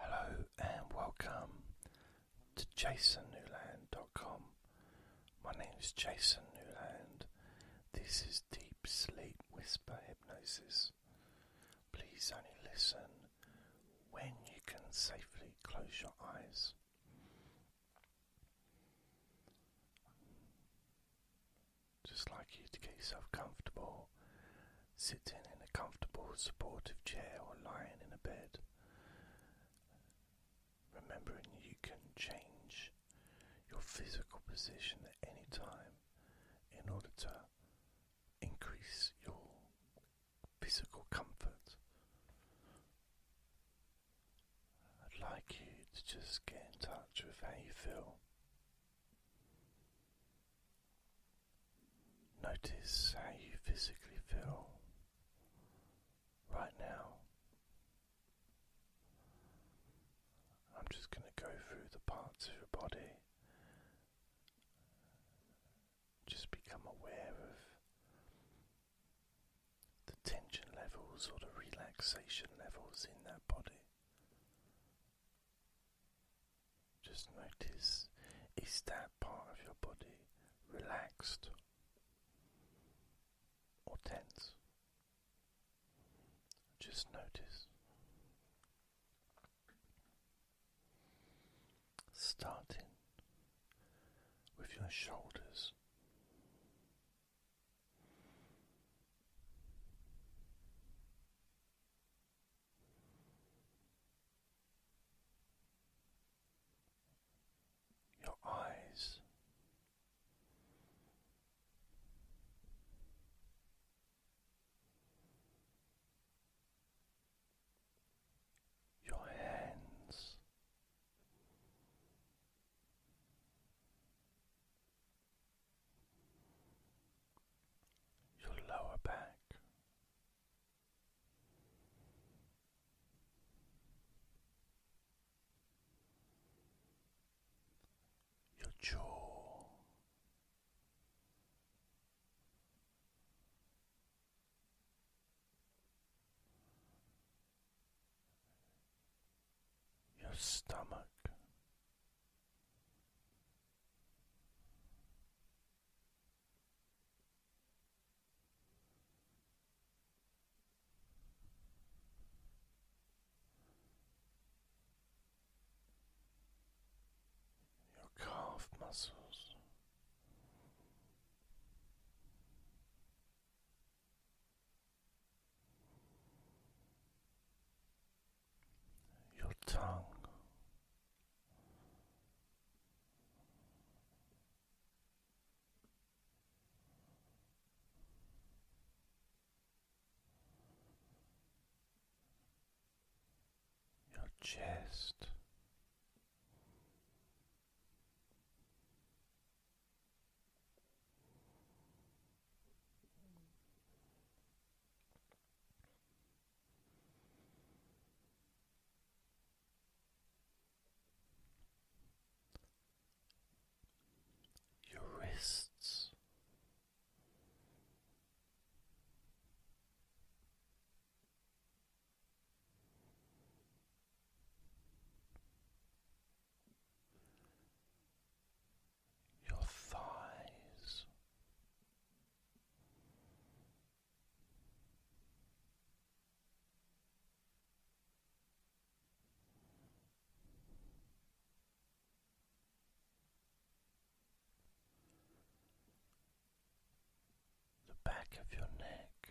Hello and welcome to jasonnewland.com. My name is Jason Newland. This is Deep Sleep Whisper Hypnosis. Please only listen when you can safely close your eyes. Just like you to get yourself comfortable sitting in a comfortable, supportive chair or lying in a bed. Remembering you can change your physical position at any time in order to increase your physical comfort. I'd like you to just get in touch with how you feel. Notice how you physically feel right now. I'm just going to go through the parts of your body. Just become aware of the tension levels or the relaxation levels in that body. Just notice is that part of your body relaxed or tense? Just notice. Starting with your shoulders your eyes. Your hands, your lower back, your jaw, your stomach. Your calf muscles your tongue, your chest your wrists. Your thighs, the back of your neck,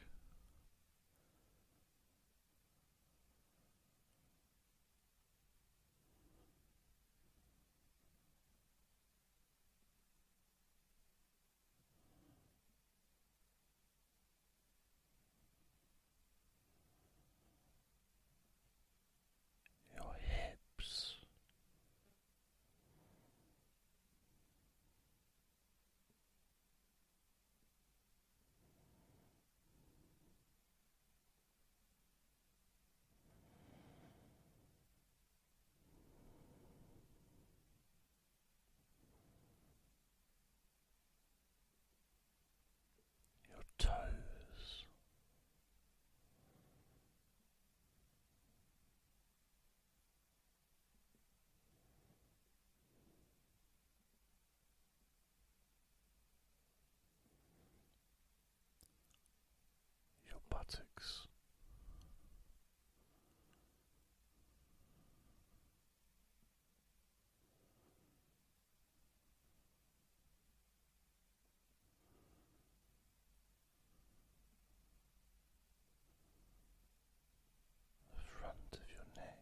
your hips, your toes your buttocks. The front of your neck,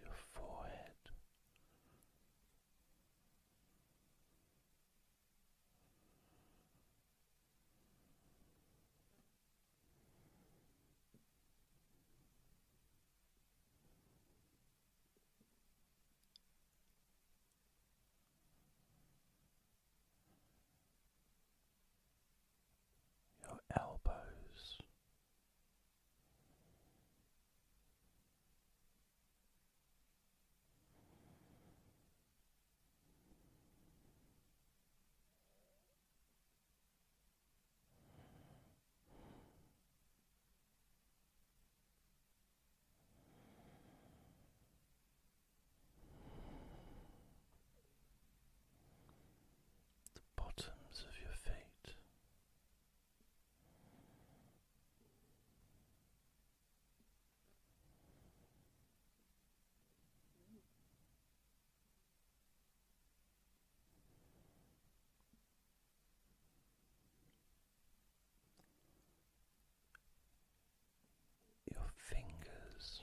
your forehead, your elbows the bottoms of your feet. Your fingers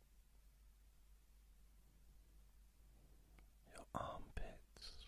your armpits.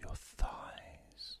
your thighs.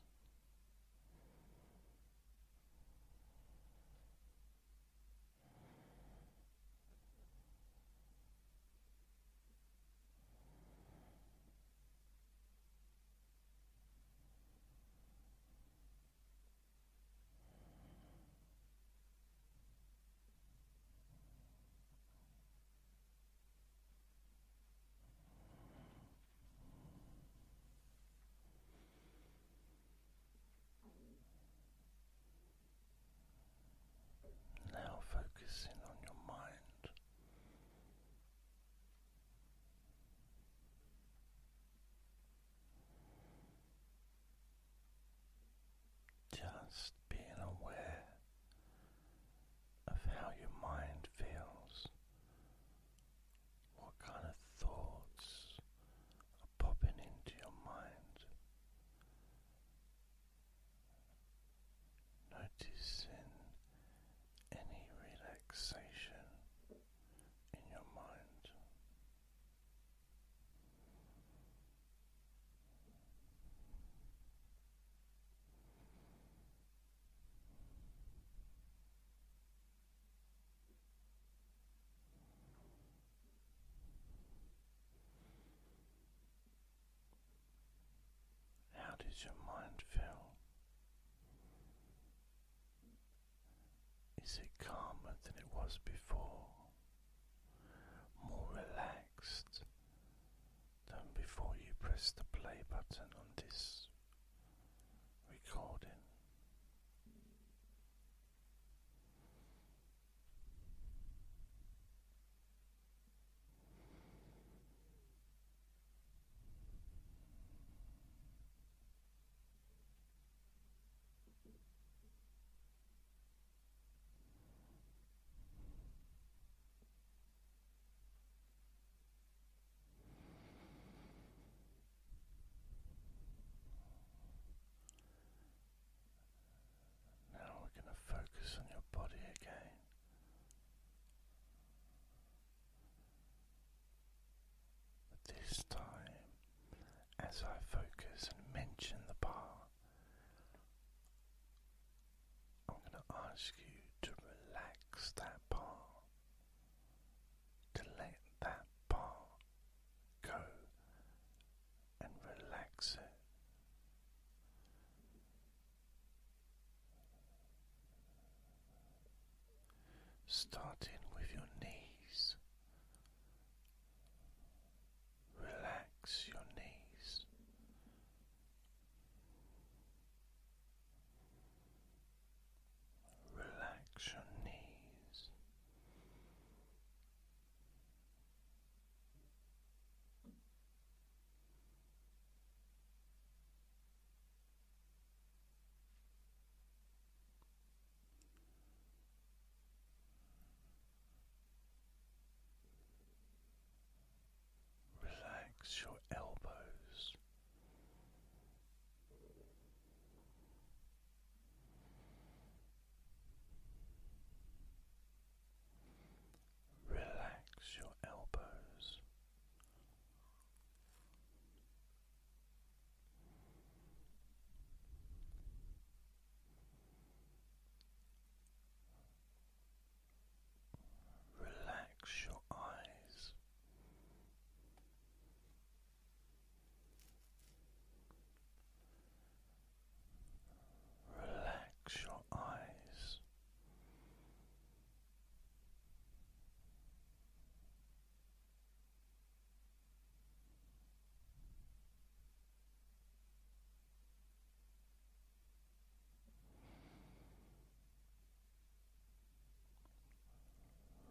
Now focusing on your mind. Just being aware of how your mind feels, what kind of thoughts are popping into your mind. Noticing any relaxation in your mind. How does your mind feel? Is it calmer than it was before? More relaxed? relaxed before you press the play button on this recording. Now we're going to focus on your body again. But this time, as I focus and mention the bar, I'm going to ask you to relax that part, to let that part go and relax it. Starting with your knees, relax your knees, Relax your knees. Relax your elbows. Relax your elbows. Relax your eyes. Relax your eyes.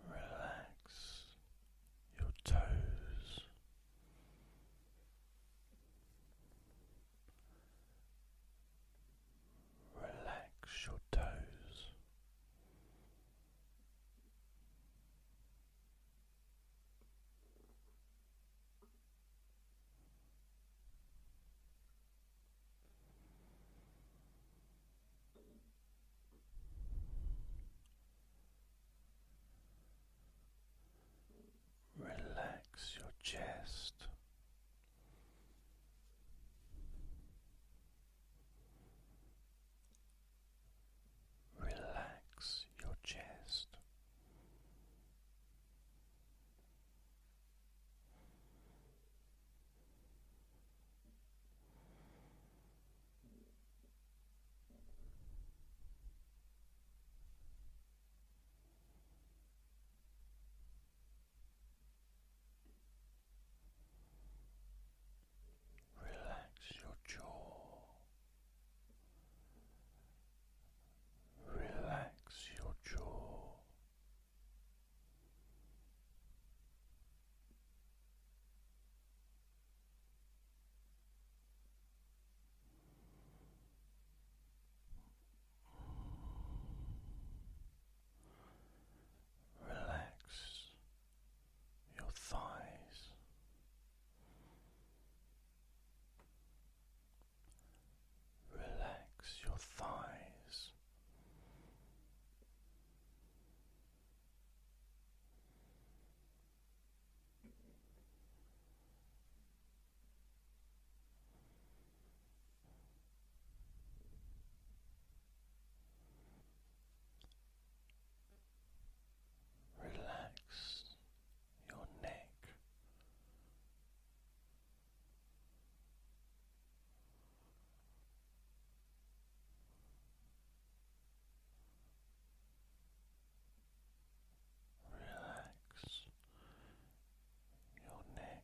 Relax your toes. Relax your toes. Relax your chest. Relax your chest. Relax your jaw. Relax your jaw. Relax your thighs, Relax your thighs. Relax your neck. Relax your neck.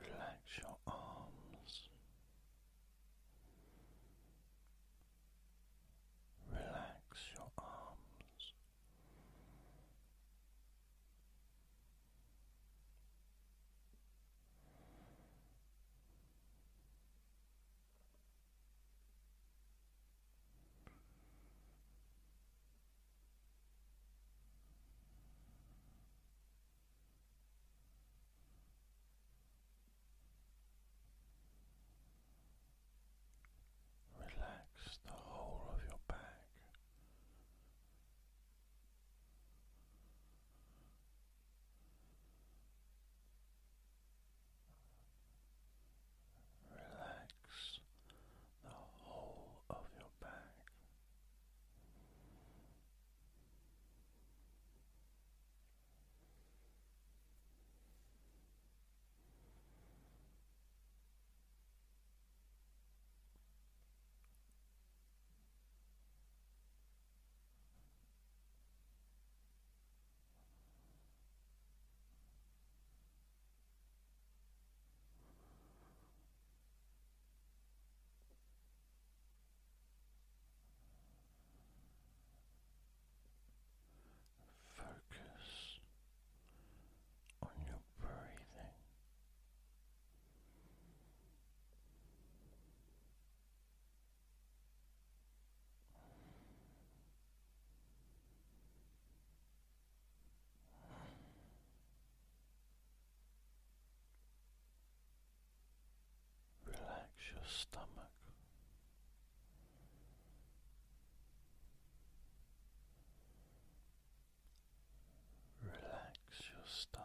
Relax your arms. Relax your arms. Relax the whole of your back. Relax the whole of your back. Focus on your breathing. Relax your stomach. Relax your stomach.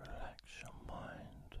Relax your mind.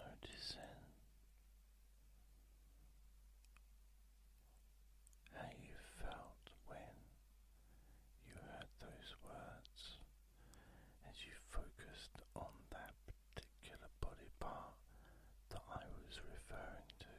Noticing how you felt when you heard those words as you focused on that particular body part that I was referring to.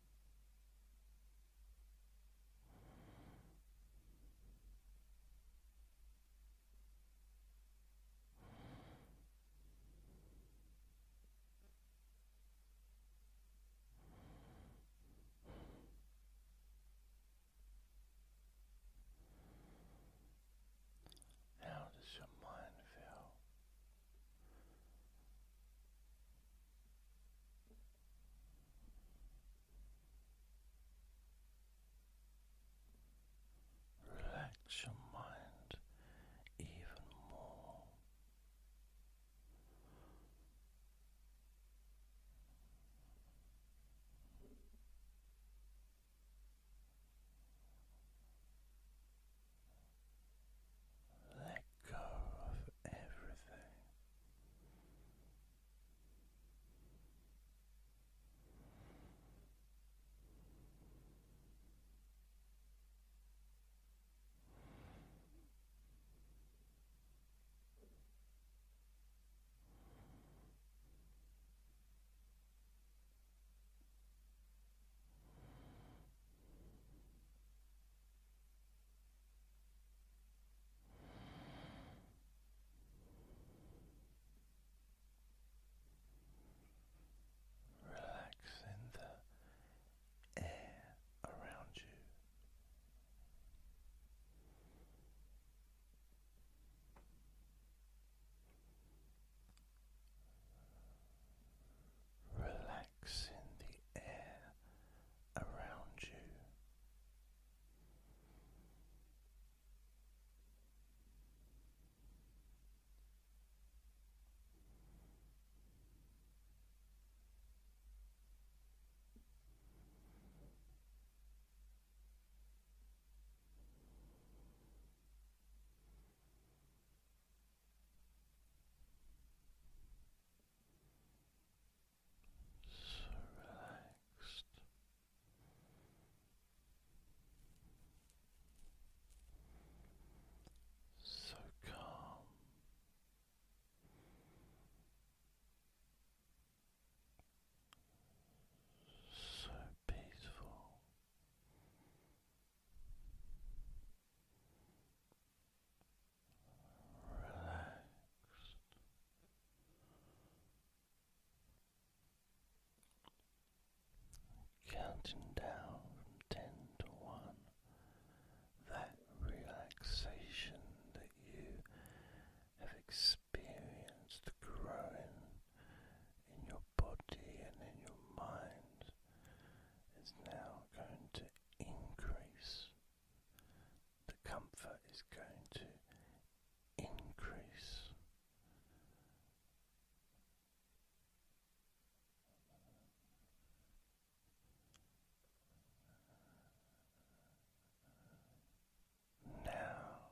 How does your mind feel? Relax your mind even more. Let go of everything. Relax in the air around you. Relaxing in the air around you so relaxed. So calm, so peaceful, relaxed. Counting down from ten to one, that relaxation that you have experienced growing in your body and in your mind is now going to increase. The comfort is going to increase. Now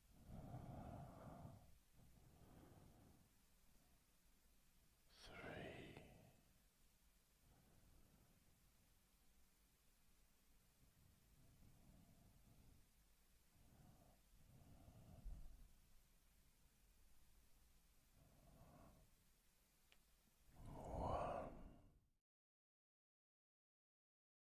three. One.